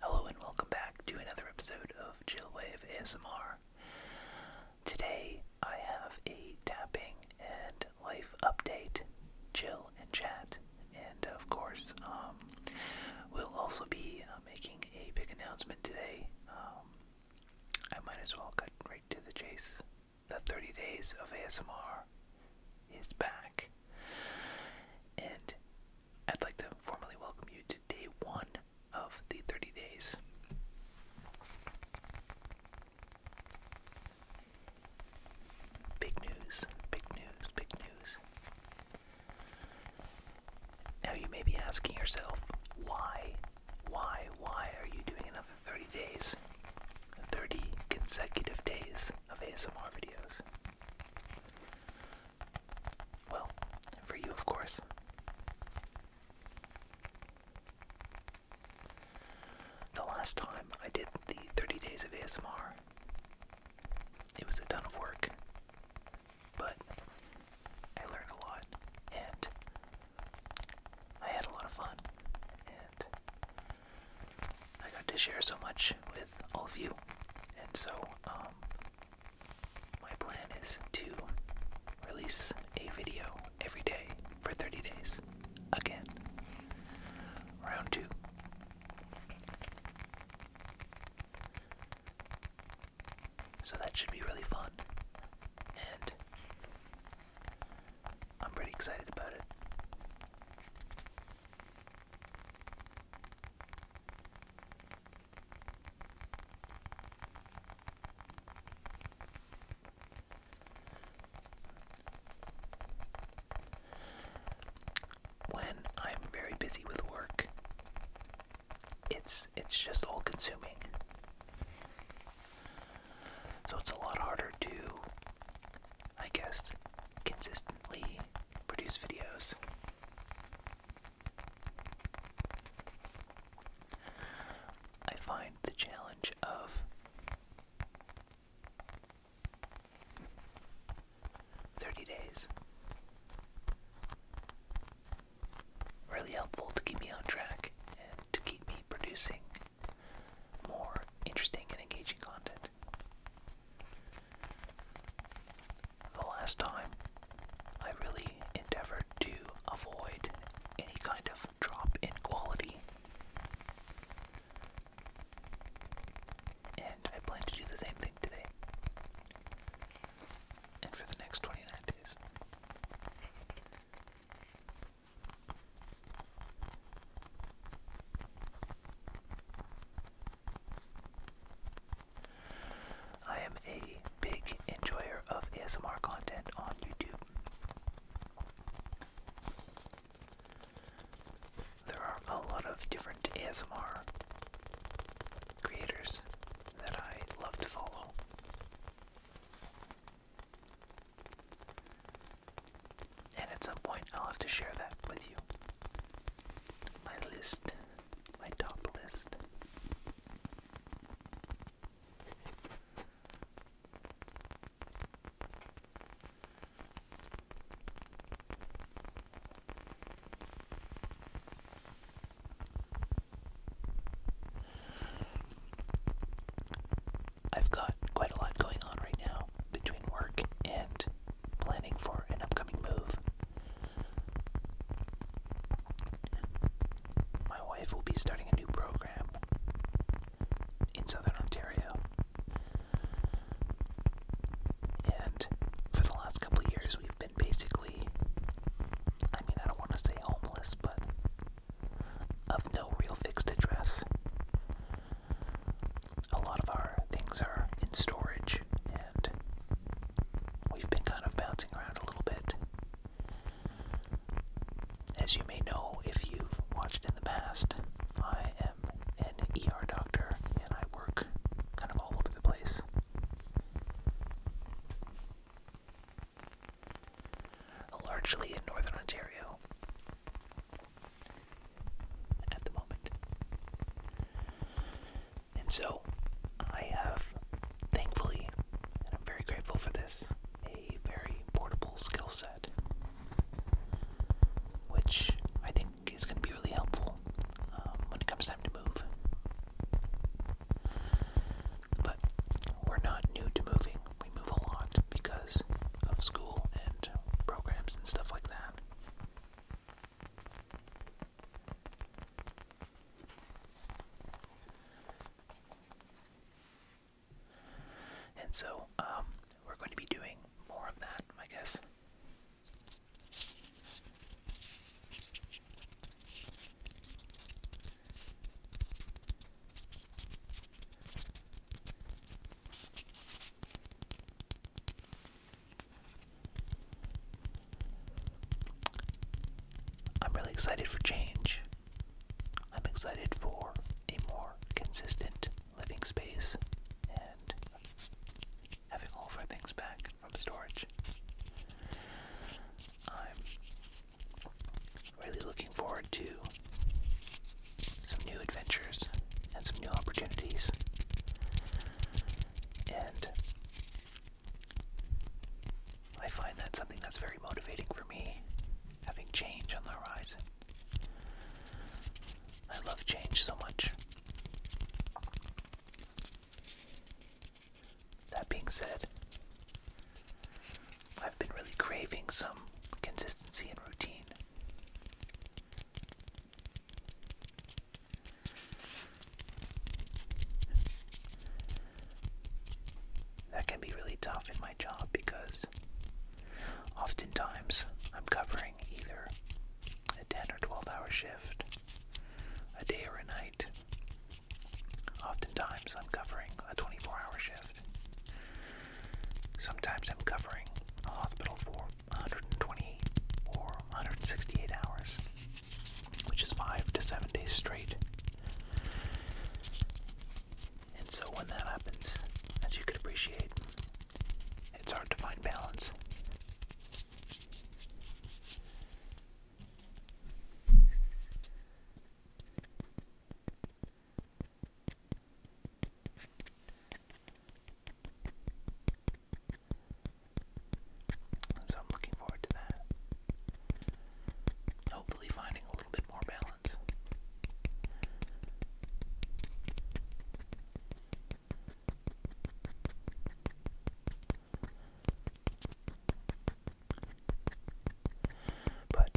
Hello and welcome back to another episode of Chillwave ASMR. Today I have a tapping and life update, chill and chat, and of course, um, we'll also be uh, making a big announcement today. Um, I might as well cut right to the chase. The 30 days of ASMR is back. And I'd like to formally welcome you to day one of the 30 days. Big news, big news, big news. Now you may be asking yourself, why, why, why are you doing another 30 days? 30 consecutive days of ASMR videos. Well, for you, of course. The last time I did the 30 days of ASMR, it was a ton of work, but I learned a lot and I had a lot of fun, and I got to share so much with all of you, and so um, my plan is to release a video every day for 30 days. Again. Round two. So that should be really fun. And I'm pretty excited about it. When I'm very busy with work, it's it's just all consuming. So it's a lot harder to I guess consistently produce videos. I find the challenge of thirty days really helpful to keep me on track and to keep me producing more interesting and engaging content the last time I really endeavored to avoid any kind of drop in quality. And I plan to do the same thing today. And for the next 29 days. I am a big enjoyer of ASMR content on YouTube. There are a lot of different ASMR creators that I love to follow. And at some point, I'll have to share that with you. My list my top list. I've got quite a lot going on right now between work and planning for an upcoming move. My wife will be starting a new program in Southern Ontario. And for the last couple of years, we've been basically, I mean, I don't want to say homeless, but of no real fixed address a lot of our things are in storage, and we've been kind of bouncing around a little bit. As you may know if you've watched in the past, I am an ER doctor and I work kind of all over the place. Largely in northern Ontario at the moment. And so I have, thankfully, I'm very grateful for this, a very portable skill set, which I think is going to be really helpful um, when it comes time to move. But we're not new to moving, we move a lot because of school and programs and stuff like that. And so, um, we're going to be doing more of that, I guess. I'm really excited for change. I'm excited for a more consistent living space and having all of our things back from storage. I'm really looking forward to some new adventures and some new opportunities. And I find that something that's very motivating for me, having change on the horizon. I love change so much. That being said, I've been really craving some consistency and routine. That can be really tough in my job because oftentimes I'm covering either a 10 or 12 hour shift, a day or a night. Oftentimes I'm covering a 24 hour shift. Sometimes I'm covering a hospital for 128 or 168 hours, which is five to seven days straight. And so when that happens, as you could appreciate, it's hard to find balance. So I'm looking forward to that. Hopefully, finding a little bit more balance. But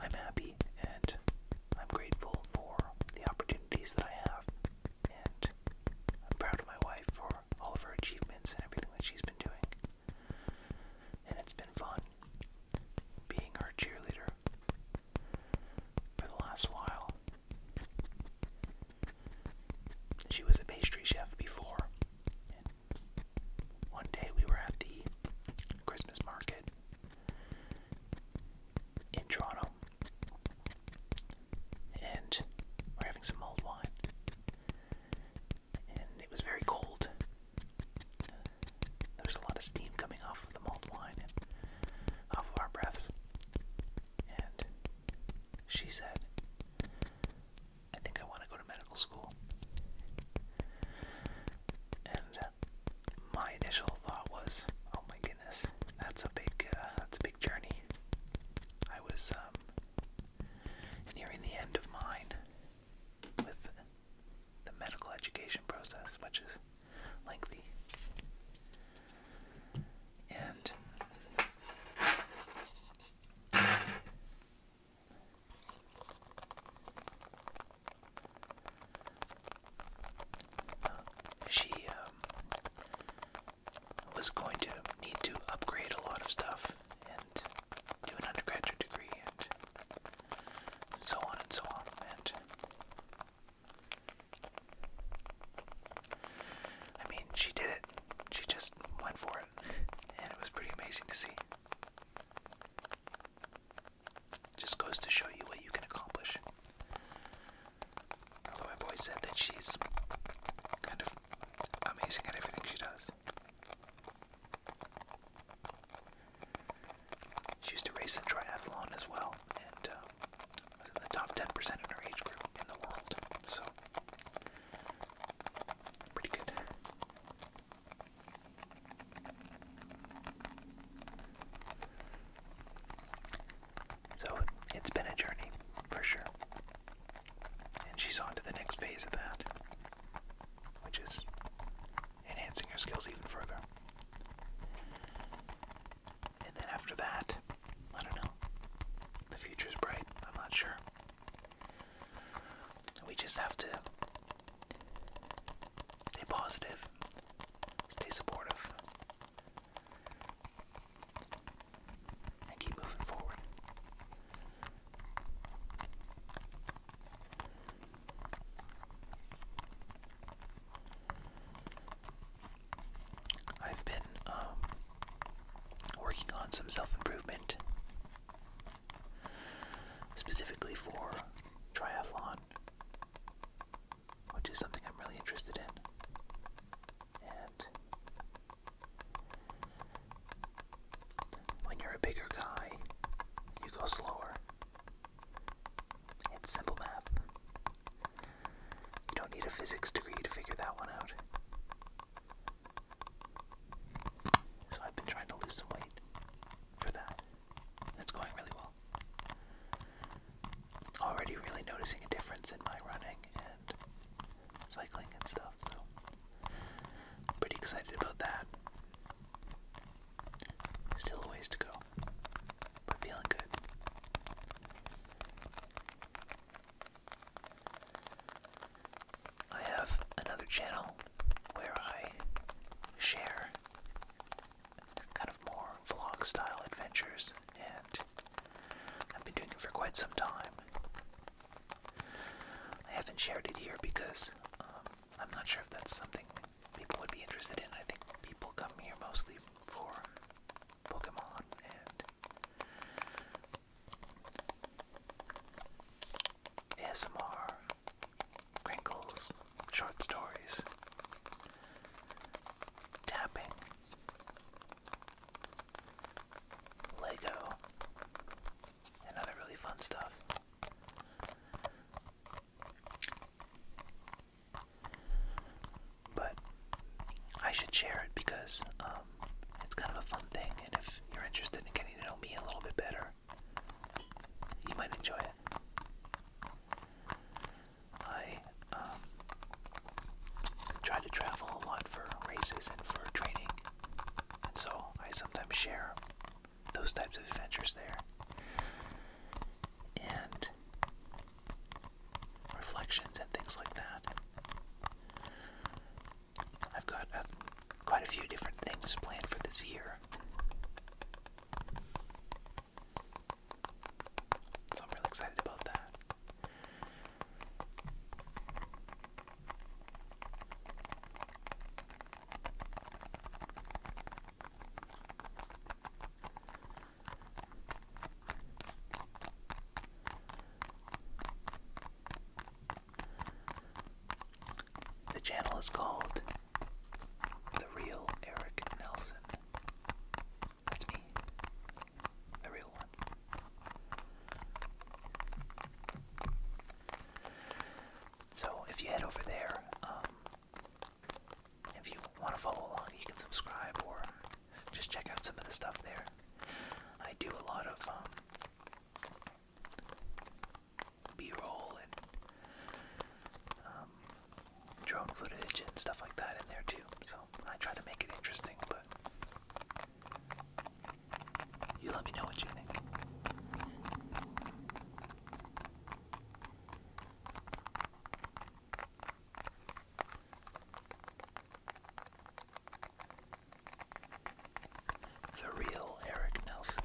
I'm happy and I'm grateful for the opportunities that I have and I'm proud of my wife for all of her achievements and everything that she's been doing. And it's been fun being her cheerleader for the last while. She was a pastry chef before. one day we were at the Christmas market in Toronto and we're having some mulled wine. And it was very cold. There was a lot of steam coming off of the mulled wine and off of our breaths. And she said, I think I want to go to medical school. And my initial thought was, oh my goodness, that's a big uh, that's a big journey. I was um, nearing the end of mine with the medical education process, which is lengthy. And she um, was going to need to upgrade a lot of stuff and do an undergraduate degree and so on and so on. And I mean, she did it. She just went for it. And it was pretty amazing to see. Just goes to show you what you can accomplish. Although I've said that she's kind of amazing at everything she does. She used to race in triathlon as well, and uh, was in the top 10% in her age group in the world. So, pretty good. So it's been a journey, for sure. And she's on to the next phase of that, which is enhancing her skills even further. And then after that, I don't know. The future's bright, I'm not sure. We just have to stay positive, stay supportive, I keep moving forward. I've been um, working on some self improvement specifically for triathlon which is something I'm really interested in. And when you're a bigger guy, you go slower. It's simple math. You don't need a physics degree to figure that one out. So I've been trying to lose some weight for that. It's going really well well. Already really noticing a difference in my running and cycling and stuff, so pretty excited about that. Still a ways to go, but feeling good. I have another channel where I share kind of more vlog style adventures, and I've been doing it for quite some time. I haven't shared it here because um, I'm not sure if that's something people would be interested in. I think people come here mostly for Pokemon and ASMR, Crinkles, short stories, tapping, Lego, and other really fun stuff. But I should share it because um, it's kind of a fun thing, and if you're interested in getting to know me a little bit better, you might enjoy it. I um, try to travel a lot for races and for training, and so I sometimes share those types of adventures there. And reflections and things like that. I've got uh, quite a few different things planned for this year. So I'm really excited about that. The channel is called The Real Eric Nelson. That's me. The real one. So if you head over there, um, if you want to follow along, you can subscribe or just check out some of the stuff there. I do a lot of um, B-roll and um, drone footage and stuff like that in there too. So I try to make it interesting, but you let me know what you think. The real Eric Nelson.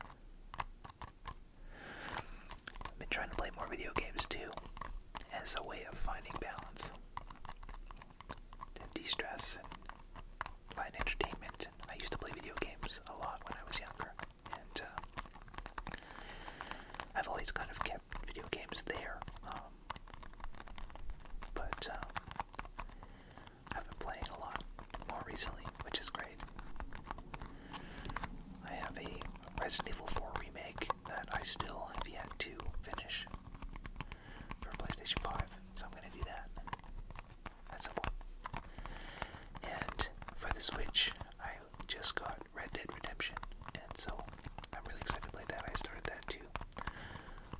I've been trying to play more video games too, as a way of finding balance, and de-stress and find entertainment. And I used to play video games a lot when I was younger, and uh, I've always kind of kept video games there. Um, but um, I've been playing a lot more recently, which is great. I have a Resident Evil 4 remake that I still have yet to finish for PlayStation 5, so I'm going to do that at some point. And for the Switch, I just got Red Dead Redemption, and so I'm really excited to play that. I started that too.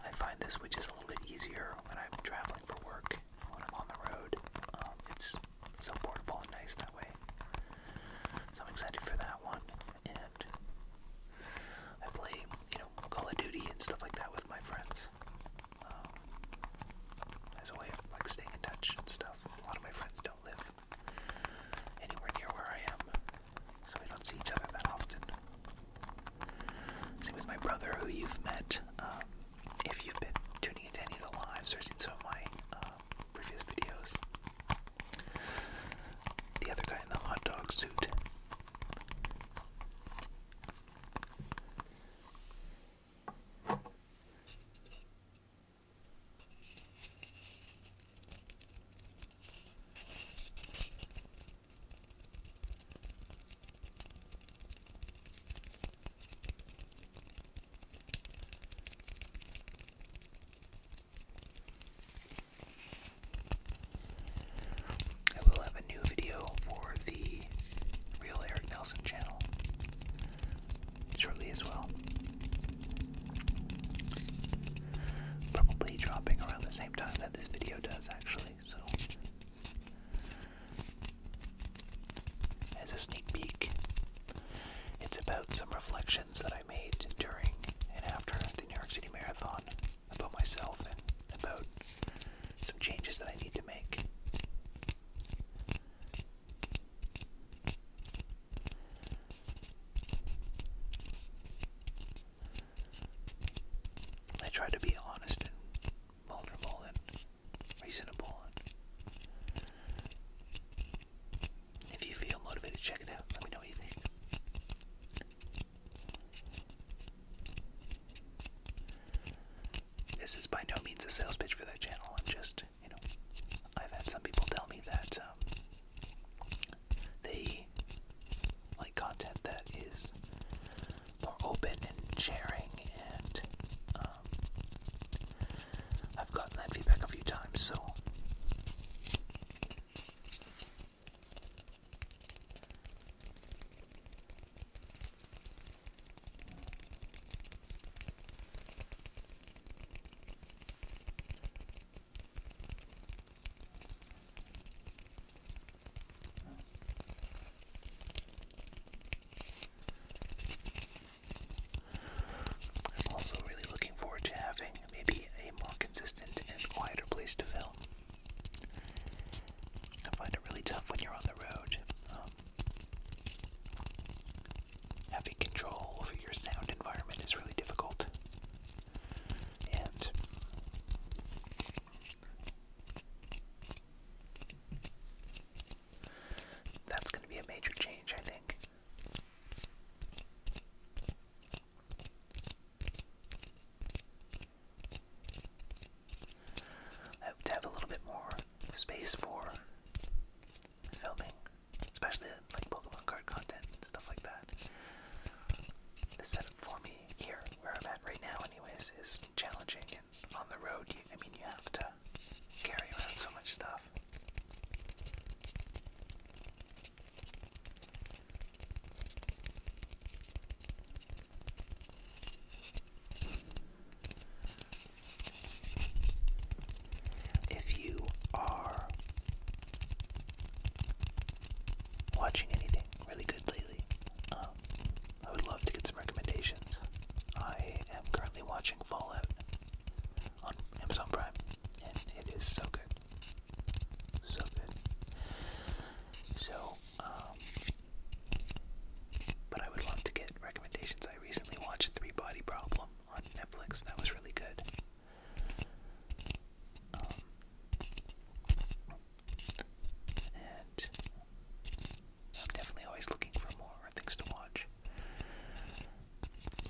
I find this, which is a little bit easier when I'm traveling for work, when I'm on the road. Um, it's so portable and nice that way. So I'm excited for that one. And I play, you know, Call of Duty and stuff like that with my friends. Um, as a way of like staying in touch and stuff. A lot of my friends don't live anywhere near where I am, so we don't see each other that often. Same with my brother, who you've met. Um, if you've been tuning into any of the lives or seen some of my uh, previous videos, the other guy in the hot dog suit. I will have a new video for the Real Eric Nelson channel shortly as well. Probably dropping around the same time that this video does, actually, so as a sneak peek, it's about some reflections that I made during and after the New York City Marathon about myself and about some changes that I need to make. I try to be honest and vulnerable and reasonable. If you feel motivated, check it out. Let me know what you think. This is by no means a sales pitch for that channel. I'm just, you know, I've had some people tell me that um, they like content that is more open and sharing, and um, I've gotten that feedback a few times, so. I'm also really looking forward to having maybe a more consistent and quieter place to film. I find it really tough when you're on the road. Um, having control over your sound environment is really difficult. And that's going to be a major change, I think. I hope to have a little bit more space for filming, especially like Pokemon card content stuff like that. The setup for me here, where I'm at right now, anyways, is challenging on the road, I mean, you have to carry around so much stuff. If you are watching anything really good lately, um, I would love to get some recommendations. I am currently watching Fallout on Amazon Prime, and it is so good. So good. So, um, but I would love to get recommendations. I recently watched Three Body Problem on Netflix, that was really good. Um, I'm definitely always looking for more things to watch.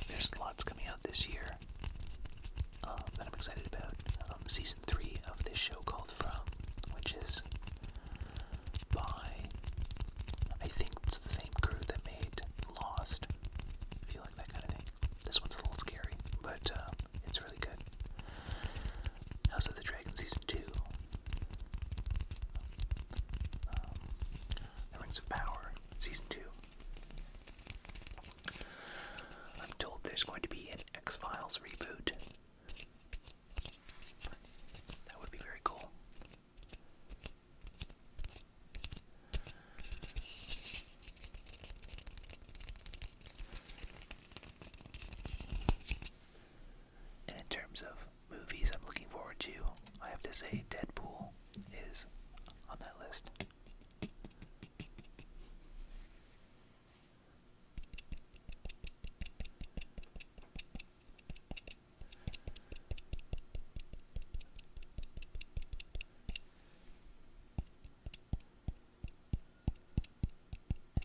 There's lots coming out this year um, that I'm excited about. Um, season three of this show called From, which is by I think it's the same crew that made Lost. If that kind of thing, this one's a little scary, but uh, it's really good. House of the Dragon season two um, the Rings of Power, Season 2. I'm told there's going to be an X Files reboot. That would be very cool. And in terms of movies I'm looking forward to, I have to say Deadpool is on that list. I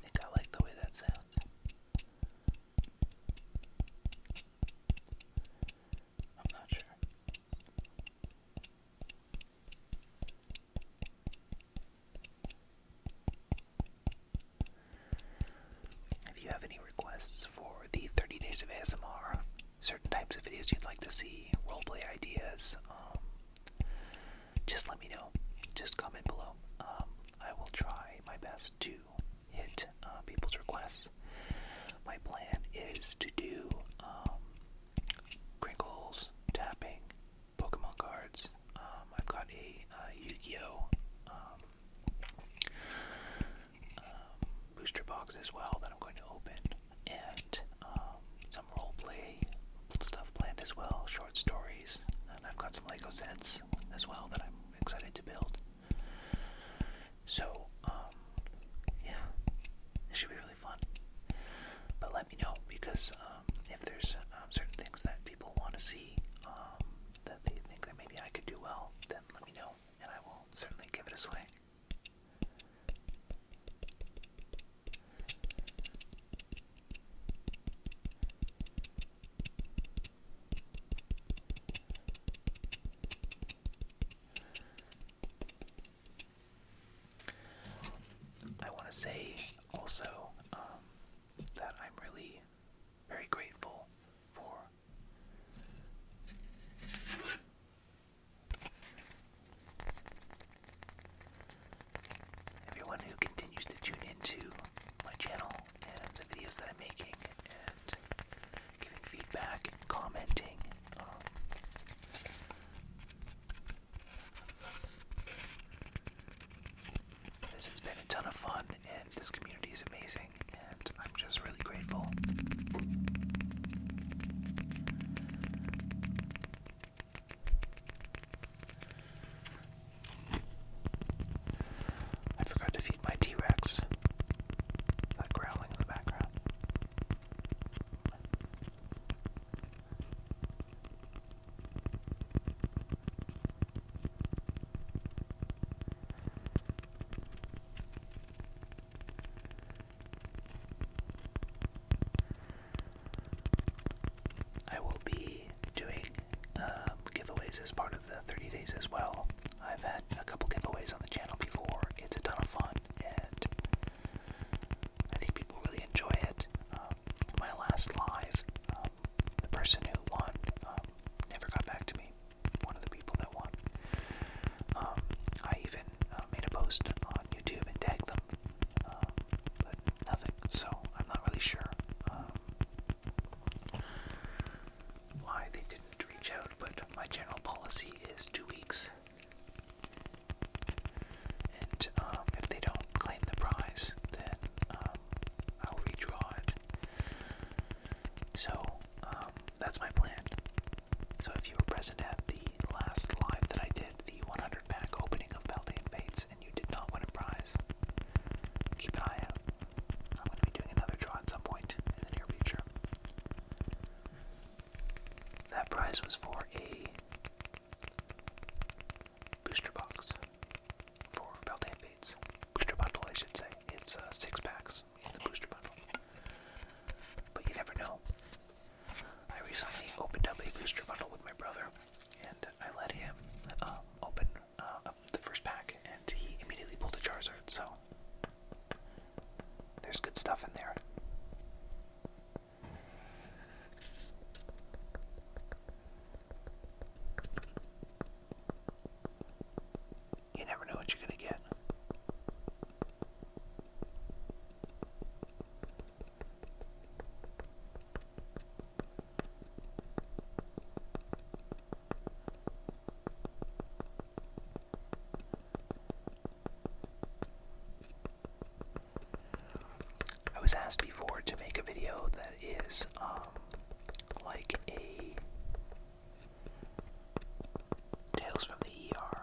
think I like the way that sounds. I'm not sure. If you have any requests for the 30 days of ASMR, certain types of videos you'd like to see, roleplay ideas, um, just let me know. Just comment below. Um, I will try my best to hit uh, people's requests. My plan is to do um, crinkles, tapping, Pokemon cards. Um, I've got a uh, Yu-Gi-Oh um, um, booster box as well that I'm going to open, and um, some role play stuff planned as well, short stories, and I've got some Lego sets buildings as well that I'm excited to build. So, um, yeah, it should be really fun. But let me know because um, if there's um, certain things that people want to see that they think that maybe I could do well, then let me know and I will certainly give it a swing. I want to say also um, that I'm really very grateful for everyone who continues to tune into my channel and the videos that I'm making and giving feedback and commenting. Um, this has been a ton of fun, and this community is amazing, and I'm just really grateful. I forgot to feed my T Rex. That growling in the background. I will be doing um, giveaways as part of the 30 days as well. I've had a couple giveaways on the channel before. It's a ton of fun, and I think people really enjoy it. Um, my last live, um, the person who won never got back to me. One of the people that won. I even uh, made a post on YouTube and tagged them, but nothing. So I'm not really sure um, why they didn't reach out, but my general policy is two weeks. And um, if they don't claim the prize, then um, I'll redraw it. So that's my plan. So if you were present at the last live that I did, the 100 pack opening of Baldane Bates and you did not win a prize, keep an eye out. I'm going to be doing another draw at some point in the near future. That prize was for a booster box for Beltane Fates. Booster bundle, I should say. It's uh, six packs in the booster bundle. But you never know. I recently opened up a booster bundle with my brother, and I let him um, open uh, of the first pack, and he immediately pulled a Charizard. So there's good stuff in there. You never know what you're gonna get. I was asked before to make a video that is um, like a Tales from the ER,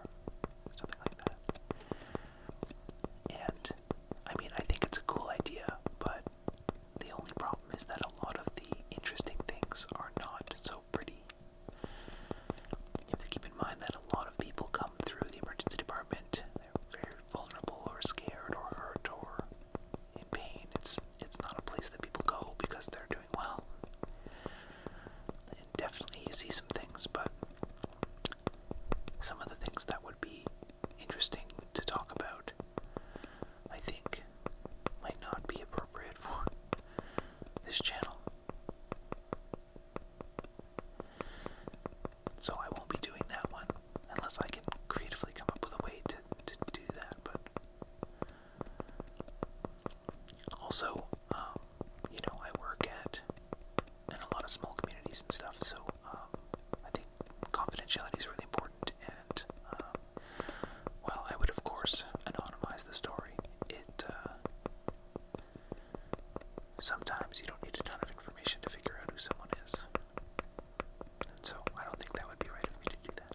something like that. And I mean, I think it's a cool idea, but the only problem is that a lot of the interesting things are not so pretty. You have to keep in mind that a lot of people come through the emergency department. They're very vulnerable or scared or hurt or in pain. It's it's not a place that people go because they're doing well. And definitely you see some things, but some of the things that would be interesting to talk about, I think might not be appropriate for this channel. So I won't be doing that one unless I can creatively come up with a way to, to do that. But also, um, you know, I work at in a lot of small communities and stuff, so I think confidentiality is really important, and um, I would, of course, anonymize the story, it uh, sometimes you don't need a ton of information to figure out who someone is, and so I don't think that would be right of me to do that.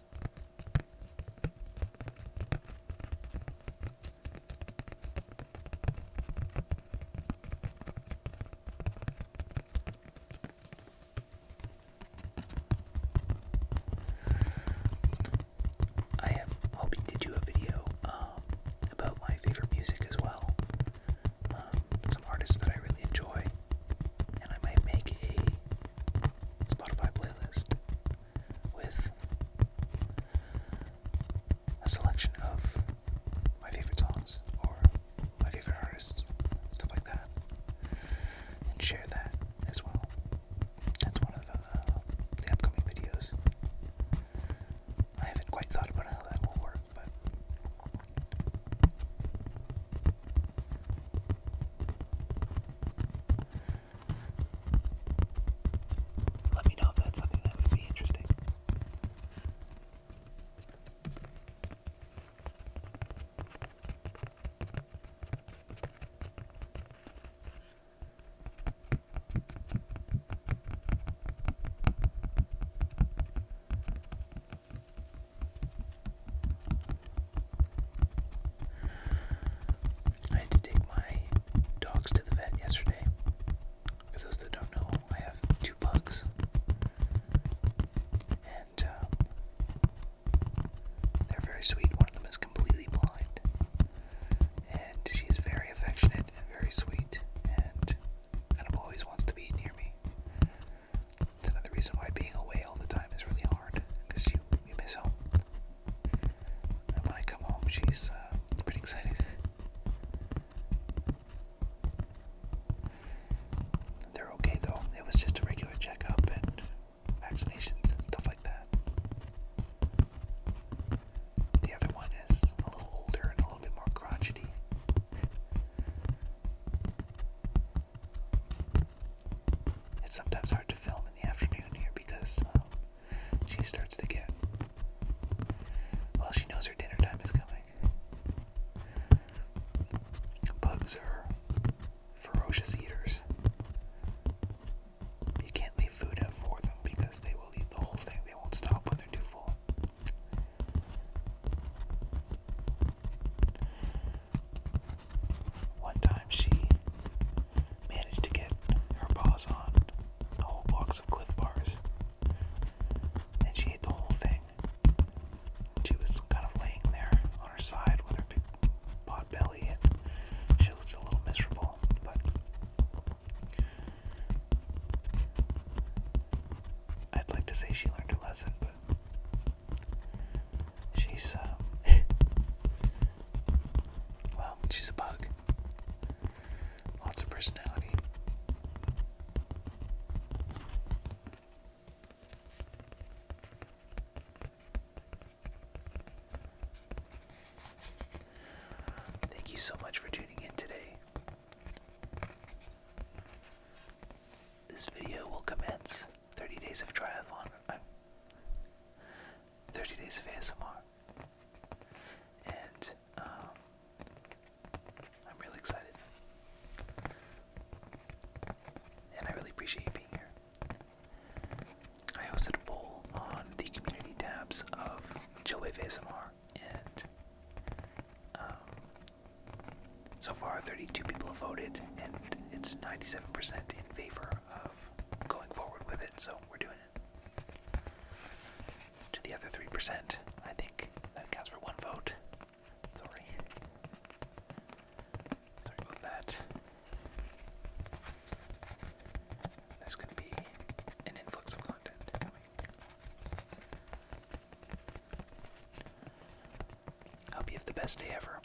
I am hoping to do a video um, about my favorite music as well. Um, some artists that I really enjoy, and I might make a Spotify playlist with a selection of my favorite songs or my favorite artists, stuff like that, and share that as well. That's one of uh, the upcoming videos. I haven't quite thought about how that will work, but. Let me know if that's something that would be interesting. I had to take my dogs to the vet yesterday. For those that don't know, I have two pugs. And uh, they're very sweet. One of them is completely blind. And she's very affectionate and very sweet and always wants to be near me. That's another reason why being away all the time is really hard because you, you miss home when I come home, she's uh, pretty excited. They're okay though. It was just a regular checkup and vaccinations and stuff like that. The other one is a little older and a little bit more crotchety. It's sometimes hard to film in the afternoon here because um, she starts to get. Well, she knows her dinner time is coming. Bugs are ferocious eaters. You can't leave food out for them because they will eat the whole thing. They won't stop when they're too full. One time she managed to get her paws on a whole box of cliff bars. And she ate the whole thing. She was kind of laying there on her side with her big pot belly, and she looked a little miserable. But I'd like to say she learned her lesson, She's, um, well, she's a bug. Lots of personality. Thank you so much for tuning in today. This video will commence 30 days of triathlon. 30 Days of ASMR. And um, I'm really excited. And I really appreciate you being here. I hosted a poll on the community tabs of Chillwave ASMR, and um, so far 32 people have voted, and it's 97% in favor of going forward with it, so we're doing it. To the other 3%, I think that counts for one vote. Sorry. Sorry about that. There's going to be an influx of content coming. Hope you have the best day ever.